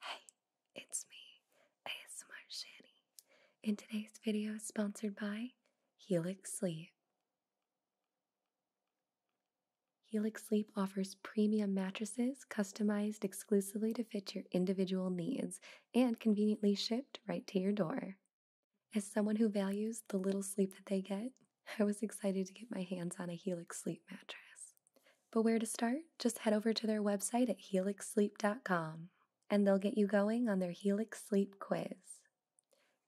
Hey, it's me, ASMR Shanny, and today's video is sponsored by Helix Sleep. Helix Sleep offers premium mattresses customized exclusively to fit your individual needs and conveniently shipped right to your door. As someone who values the little sleep that they get, I was excited to get my hands on a Helix Sleep mattress. But where to start? Just head over to their website at helixsleep.com and they'll get you going on their Helix Sleep quiz.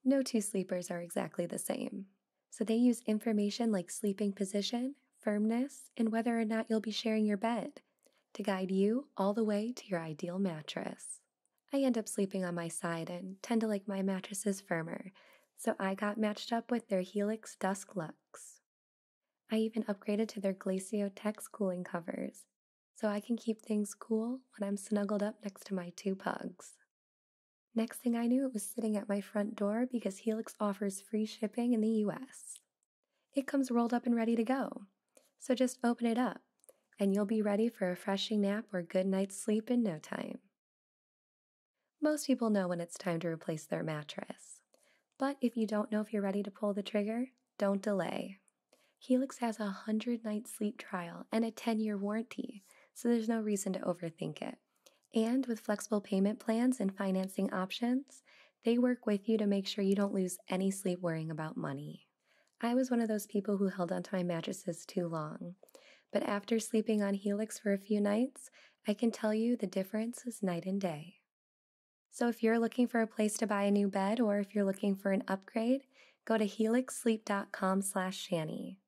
No two sleepers are exactly the same, so they use information like sleeping position, firmness, and whether or not you'll be sharing your bed to guide you all the way to your ideal mattress. I end up sleeping on my side and tend to like my mattresses firmer, so I got matched up with their Helix Dusk Lux. I even upgraded to their Glaciotech cooling covers, so I can keep things cool when I'm snuggled up next to my two pugs. Next thing I knew, it was sitting at my front door because Helix offers free shipping in the US. It comes rolled up and ready to go. So just open it up, and you'll be ready for a refreshing nap or good night's sleep in no time. Most people know when it's time to replace their mattress. But if you don't know if you're ready to pull the trigger, don't delay. Helix has a 100 night sleep trial and a 10 year warranty, so there's no reason to overthink it. And with flexible payment plans and financing options, they work with you to make sure you don't lose any sleep worrying about money. I was one of those people who held onto my mattresses too long. But after sleeping on Helix for a few nights, I can tell you the difference is night and day. So if you're looking for a place to buy a new bed or if you're looking for an upgrade, go to helixsleep.com slash shanny.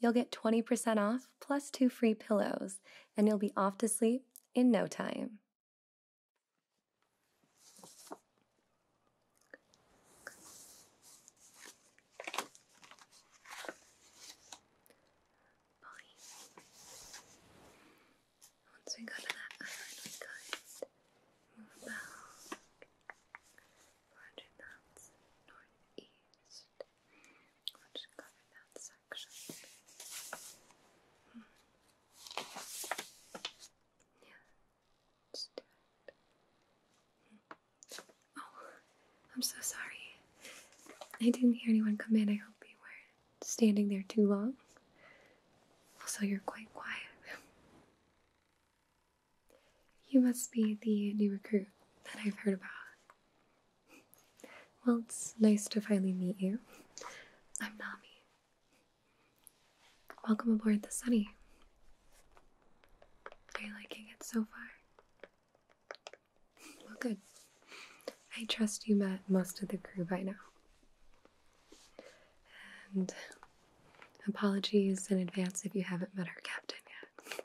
You'll get 20% off plus two free pillows and you'll be off to sleep in no time. Once we got to that island, we could move about 400 knots northeast, which covered that section. Hmm. Yeah, hmm. Oh, I'm so sorry. I didn't hear anyone come in. I hope you weren't standing there too long. Also, you're quite quiet. You must be the new recruit that I've heard about. Well, it's nice to finally meet you. I'm Nami. Welcome aboard the Sunny. Are you liking it so far? Well, good. I trust you met most of the crew by now. And apologies in advance if you haven't met our captain yet.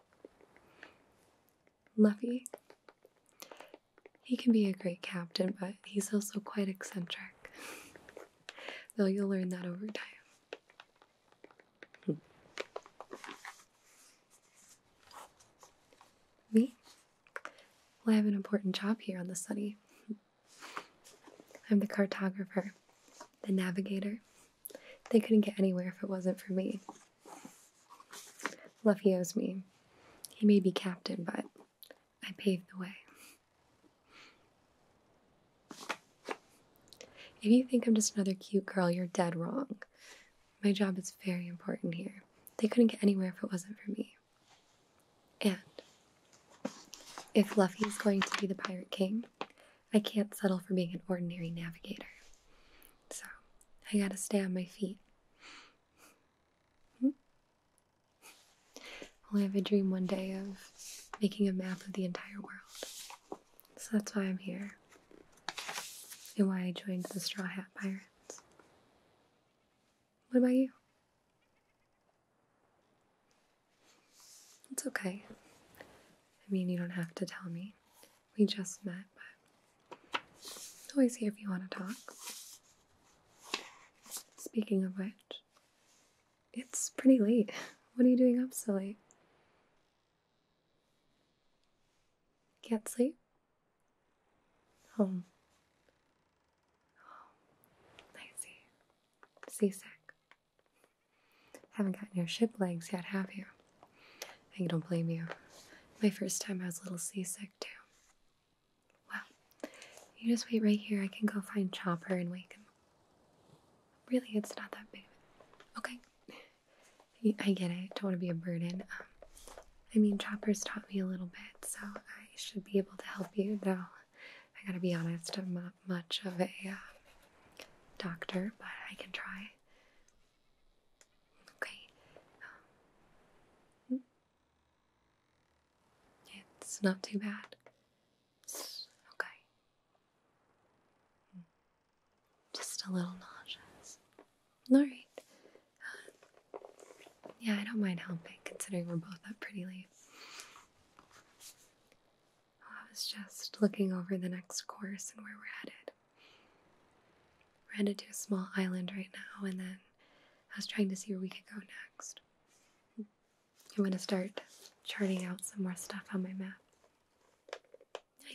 Luffy, he can be a great captain, but he's also quite eccentric. Though you'll learn that over time. Me? Well, I have an important job here on the Sunny. I'm the cartographer, the navigator. They couldn't get anywhere if it wasn't for me. Luffy owes me. He may be captain, but I paved the way. If you think I'm just another cute girl, you're dead wrong. My job is very important here. They couldn't get anywhere if it wasn't for me. And if Luffy is going to be the Pirate King, I can't settle for being an ordinary navigator. So I gotta stay on my feet. Hmm? Well, I have a dream one day of making a map of the entire world. So that's why I'm here and why I joined the Straw Hat Pirates. What about you? It's okay. I mean, you don't have to tell me. We just met, but I'm always here if you want to talk. Speaking of which, it's pretty late. What are you doing up so late? Can't sleep? Home. Um, Home. I Seasick. Haven't gotten your ship legs yet, have you? I don't blame you. My first time I was a little seasick too. Well, you just wait right here. I can go find Chopper and wake him. Really, it's not that big. Okay. I get it. Don't want to be a burden. Um, I mean, Chopper's taught me a little bit, so I should be able to help you. Though, I gotta be honest, I'm not much of a uh, doctor, but I can try. Okay. Um, it's not too bad. okay. Just a little nauseous. Alright. Uh, yeah, I don't mind helping considering we're both up pretty late. Oh, I was just looking over the next course and where we're headed. We're headed to a small island right now, and then I was trying to see where we could go next. I'm going to start charting out some more stuff on my map.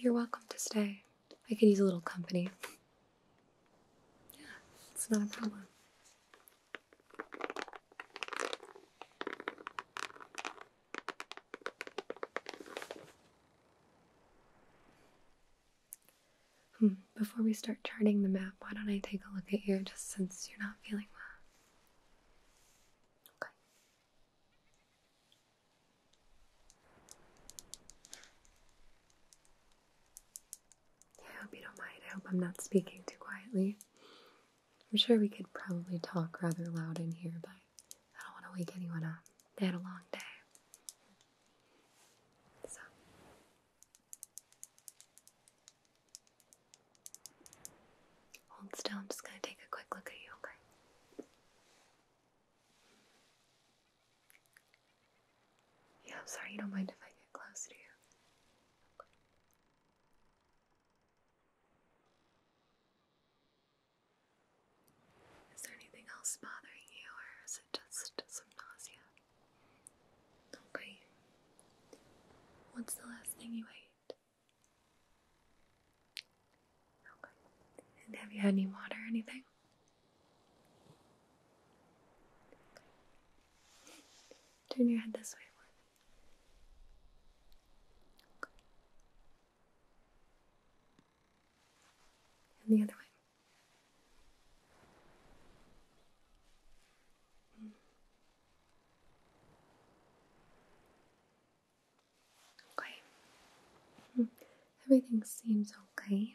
You're welcome to stay. I could use a little company. Yeah, it's not a problem. Hmm, before we start charting the map, why don't I take a look at you just since you're not feeling well? Okay. I hope you don't mind. I hope I'm not speaking too quietly. I'm sure we could probably talk rather loud in here, but I don't want to wake anyone up. They had a long day. So. Hold still. I'm just going to take a quick look at you, okay? Yeah, I'm sorry, you don't mind if I get close to you. Is there anything else bothering you, or is it just some nausea? Okay. What's the last thing you ate? have you had any water or anything? Turn your head this way. And the other way. Hmm. Okay. Hmm. Everything seems okay.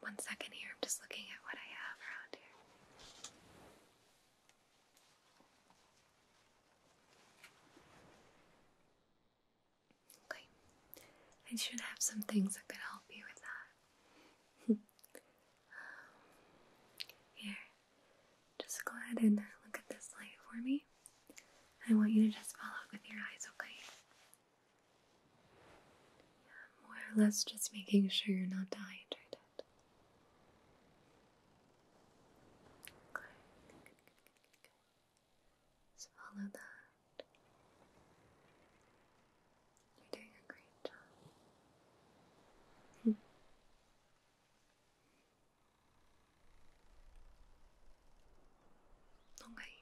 One second here, I'm just looking at what I have around here. Okay. I should have some things that could help you with that. Um, here, just go ahead and look at this light for me. I want you to just follow it with your eyes, okay? more or less just making sure you're not dehydrated. Okay. Swallow that. You're doing a great job. Hmm. Okay.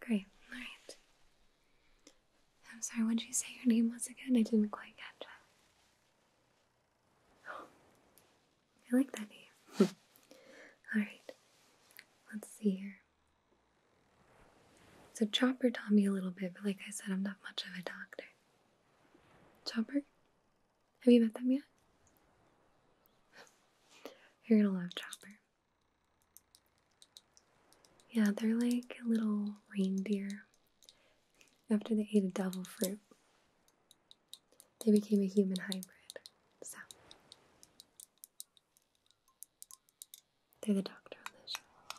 Great. All right. I'm sorry. What did you say your name once again? I didn't quite catch it. I like that name. All right. Let's see here. So Chopper taught me a little bit, but like I said, I'm not much of a doctor. Chopper? Have you met them yet? You're gonna love Chopper. Yeah, they're like a little reindeer. After they ate a devil fruit, they became a human hybrid. So, they're the doctor on the show.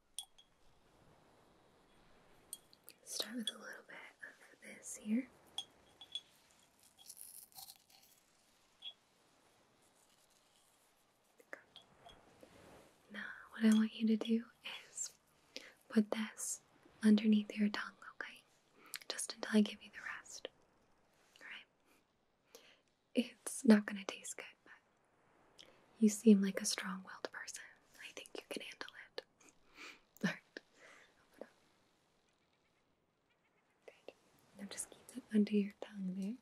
Start with a little bit of this here. Now, what I want you to do is put this underneath your tongue, okay? Just until I give you the rest. Alright? it's not going to taste good, but you seem like a strong willed person. I think you can handle it. Alright. Open up. Good. Now just keep it under your tongue there.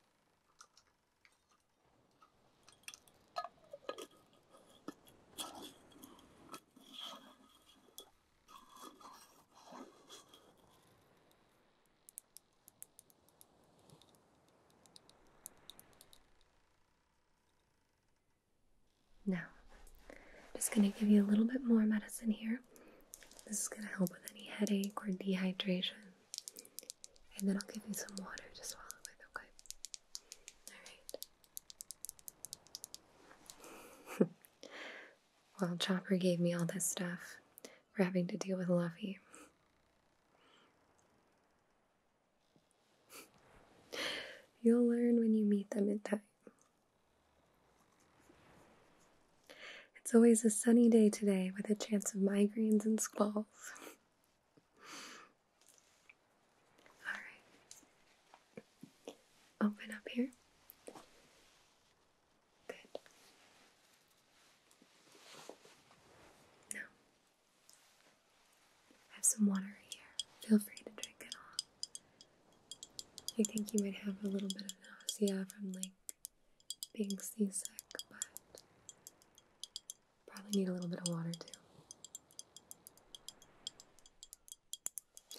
Now, just going to give you a little bit more medicine here. This is going to help with any headache or dehydration. And then I'll give you some water to swallow with, okay? Alright. well, Chopper gave me all this stuff for having to deal with Luffy. You'll learn when you meet them in time. It's always a sunny day today with a chance of migraines and squalls. Alright. Open up here. Good. Now, I have some water here. Feel free to drink it all. I think you might have a little bit of nausea from like being seasick, but probably need a little bit of water too.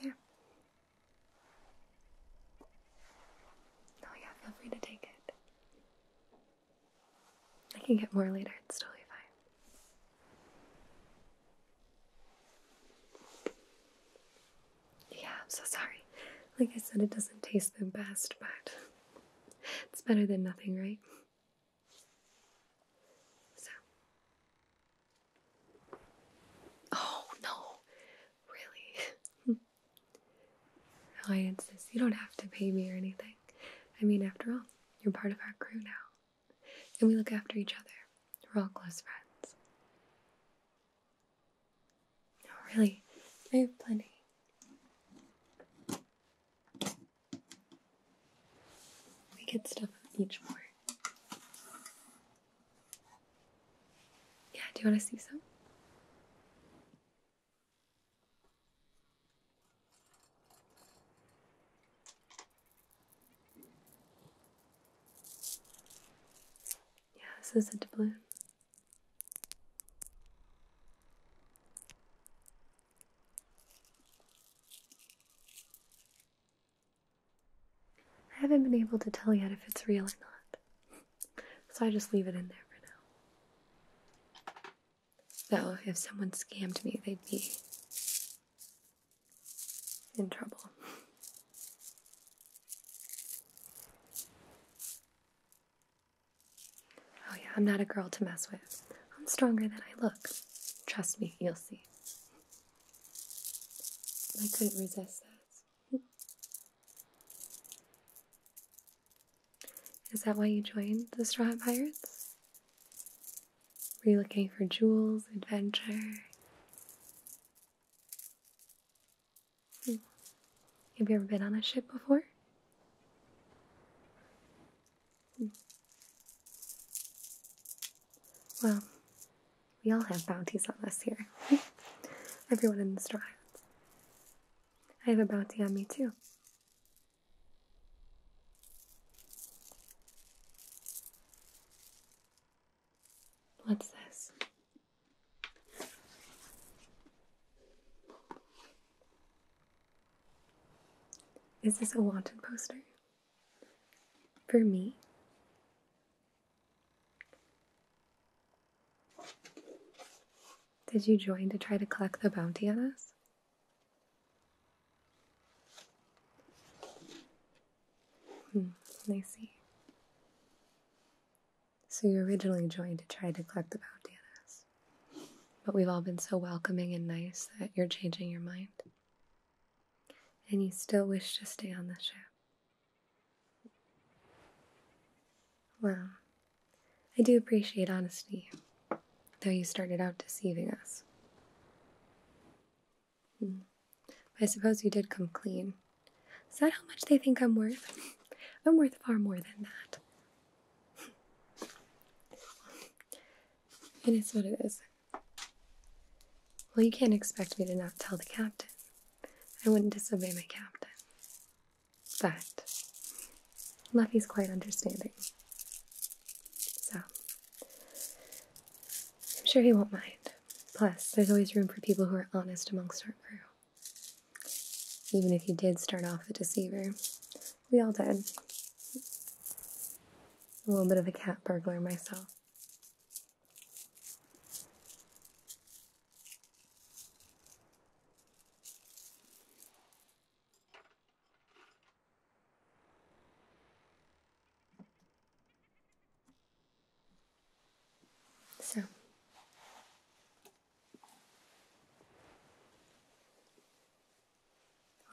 There. Oh yeah, feel free to take it. I can get more later, it's totally fine. Yeah, I'm so sorry. Like I said, it doesn't taste the best, but it's better than nothing, right? So. Oh no, really? alliances. You don't have to pay me or anything. I mean, after all, you're part of our crew now. And we look after each other. We're all close friends. No, oh, really, I have plenty. We get stuff each more. Yeah, do you want to see some? Yeah, this is a doubloon. I haven't been able to tell yet if it's real or not, so I just leave it in there for now. So if someone scammed me, they'd be in trouble. Oh, yeah, I'm not a girl to mess with. I'm stronger than I look. Trust me, you'll see. I couldn't resist that. Is that why you joined the Straw Hat Pirates? Were you looking for jewels, adventure? Hmm. Have you ever been on a ship before? Hmm. Well, we all have bounties on us here. Everyone in the Straw Hats. I have a bounty on me too. What's this? Is this a wanted poster? For me? Did you join to try to collect the bounty on us? Hmm, I see. So you originally joined to try to collect the bounty on us. But we've all been so welcoming and nice that you're changing your mind. And you still wish to stay on the ship. Well, I do appreciate honesty, though you started out deceiving us. Hmm. I suppose you did come clean. Is that how much they think I'm worth? I'm worth far more than that. it is what it is. Well, you can't expect me to not tell the captain. I wouldn't disobey my captain. But Luffy's quite understanding. So I'm sure he won't mind. Plus, there's always room for people who are honest amongst our crew. Even if you did start off a deceiver, we all did. A little bit of a cat burglar myself. So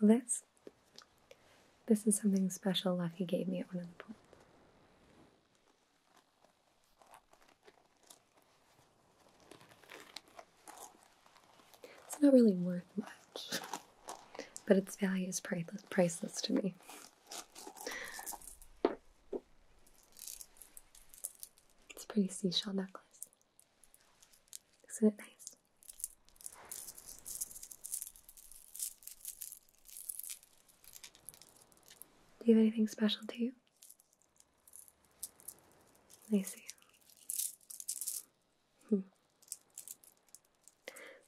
this this is something special Lucky gave me at one of the points. It's not really worth much, but its value is priceless, to me. It's a pretty seashell necklace. Isn't it nice? Do you have anything special to you? I see. Hmm.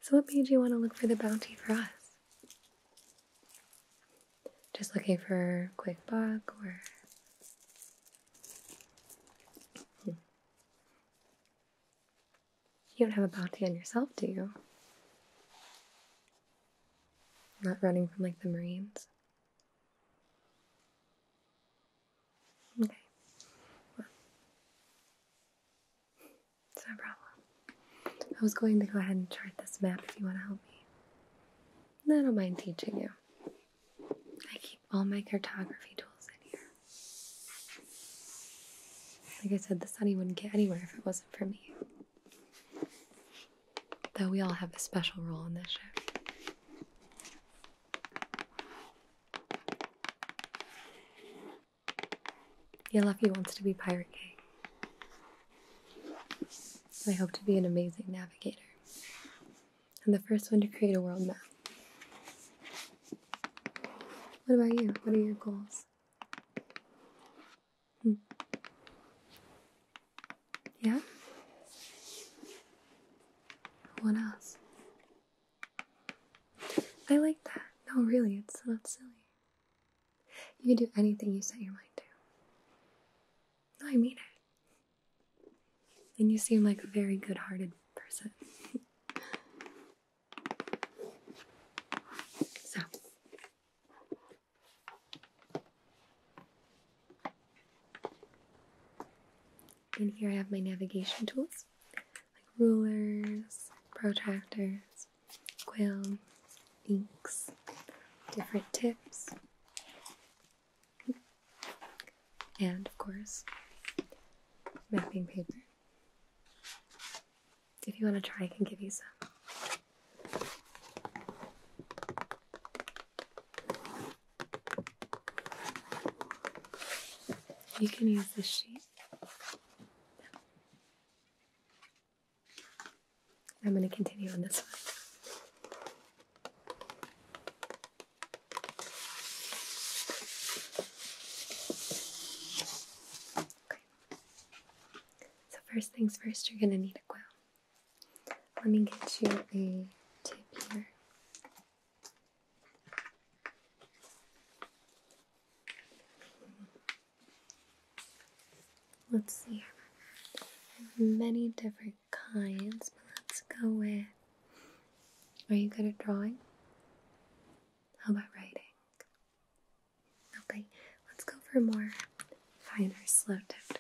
So, what made you want to look for the bounty for us? Just looking for quick buck or. Hmm. You don't have a bounty on yourself, do you? Not running from like the Marines. Okay. no problem. I was going to go ahead and chart this map if you want to help me. I don't mind teaching you. I keep all my cartography tools in here. Like I said, the sunny wouldn't get anywhere if it wasn't for me. Though we all have a special role in this show. Yeah, Luffy wants to be Pirate King. I hope to be an amazing navigator. and the first one to create a world map. What about you? What are your goals? Hmm. Yeah? What else? I like that. No, really, it's not silly. You can do anything you set your mind to. No, I mean it. And you seem like a very good hearted person. so, and here I have my navigation tools, like rulers, protractors, quill, inks, different tips, and of course, mapping paper. If you want to try, I can give you some. You can use this sheet. I'm going to continue on this one. Okay. So, first things first, you're going to need a quill. Let me get you a tip here. Let's see. Many different kinds, but let's go with. Are you good at drawing? How about writing? Okay, let's go for a more finer, slow tip.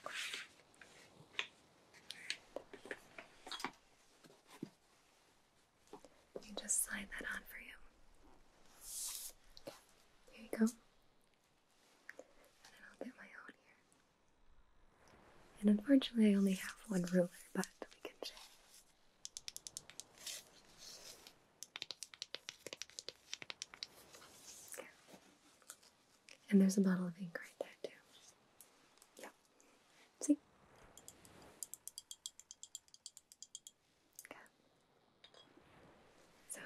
You just slide that on for you. Here you go. And then I'll get my own here. And unfortunately, I only have one ruler, but we can check. And there's a bottle of ink right there, too. Yep. See? So,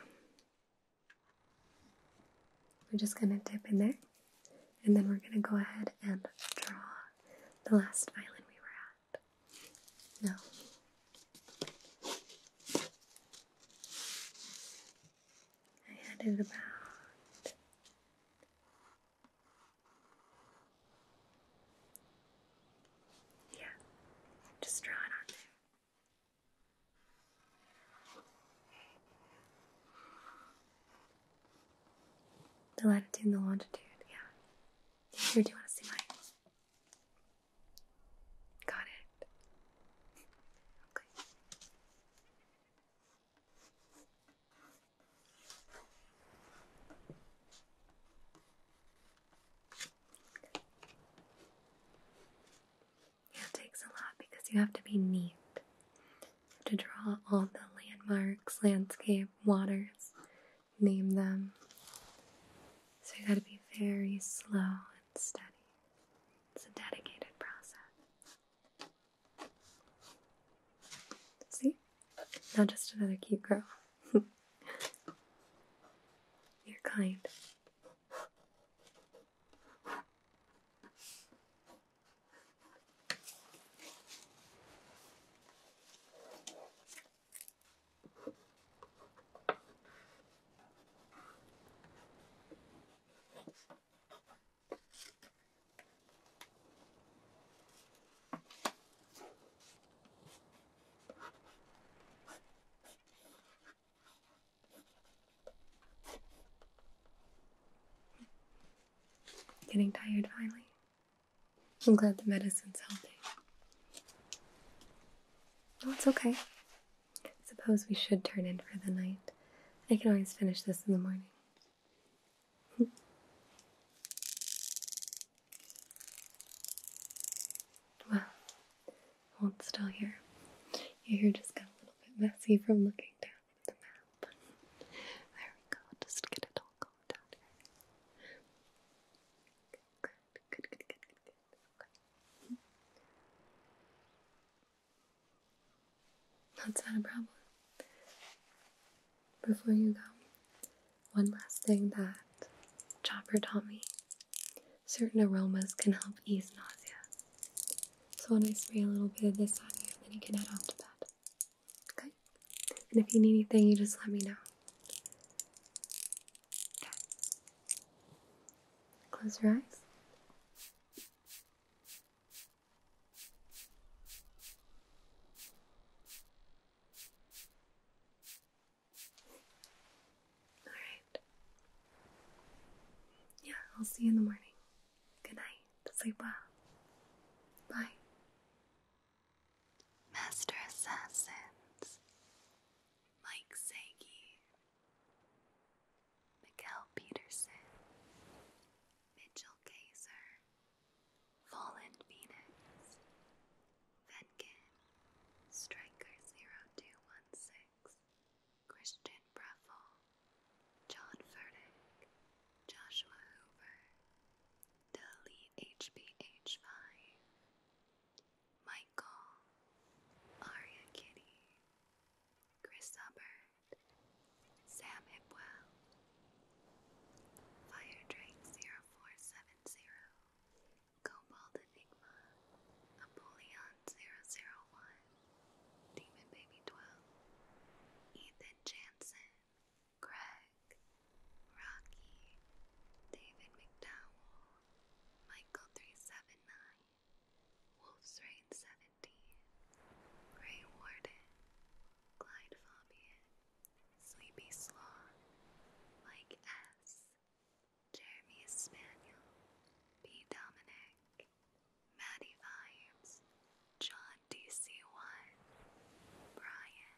we're just going to dip in there. And then we're going to go ahead and draw the last island we were at. No. I added about yeah, just draw it on there. The latitude and the longitude, yeah. Here, do you want to see mine? Got it. Okay. It takes a lot because you have to be neat. to draw all the landmarks, landscape, waters, name them. So you gotta be very slow and steady. It's a dedicated process. See? Not just another cute girl. You're kind. Getting tired finally. I'm glad the medicine's helping. No, it's okay. Suppose we should turn in for the night. I can always finish this in the morning. well, i hold still here. Your hair just got a little bit messy from looking down at the map. there we go, just get it all combed out Good, good, good, good, good, that's not a problem. Before you go, one last thing that Chopper taught me. Certain aromas can help ease nausea. So when I spray a little bit of this on you, then you can head off to bed. Okay? And if you need anything, you just let me know. Okay. Close your eyes. All right. Yeah, I'll see you in the morning. Good night. Sleep well. Bye. Master Assassins Mike Sagi Miguel Peterson, Mitchell Kaiser, Fallen Phoenix, Venkin, Striker0216, Christian Breffel, John Furtick, Joshua Hoover, Delete HBH5, Michael, Aria Kitty, Chris Hubbard, Sam Hipwell, Firedrake0470, Cobalt Enigma, Apollyon001, Demon Baby 12, Ethan Jansen, Craig, Rocky, David McDowell, Michael379, Wolf's Reign 17, Grey Warden, Glide Sleepy Sloth, Like S, Jeremy Spaniel, B. Dominic, Maddie Vibes, John DC1, Brian.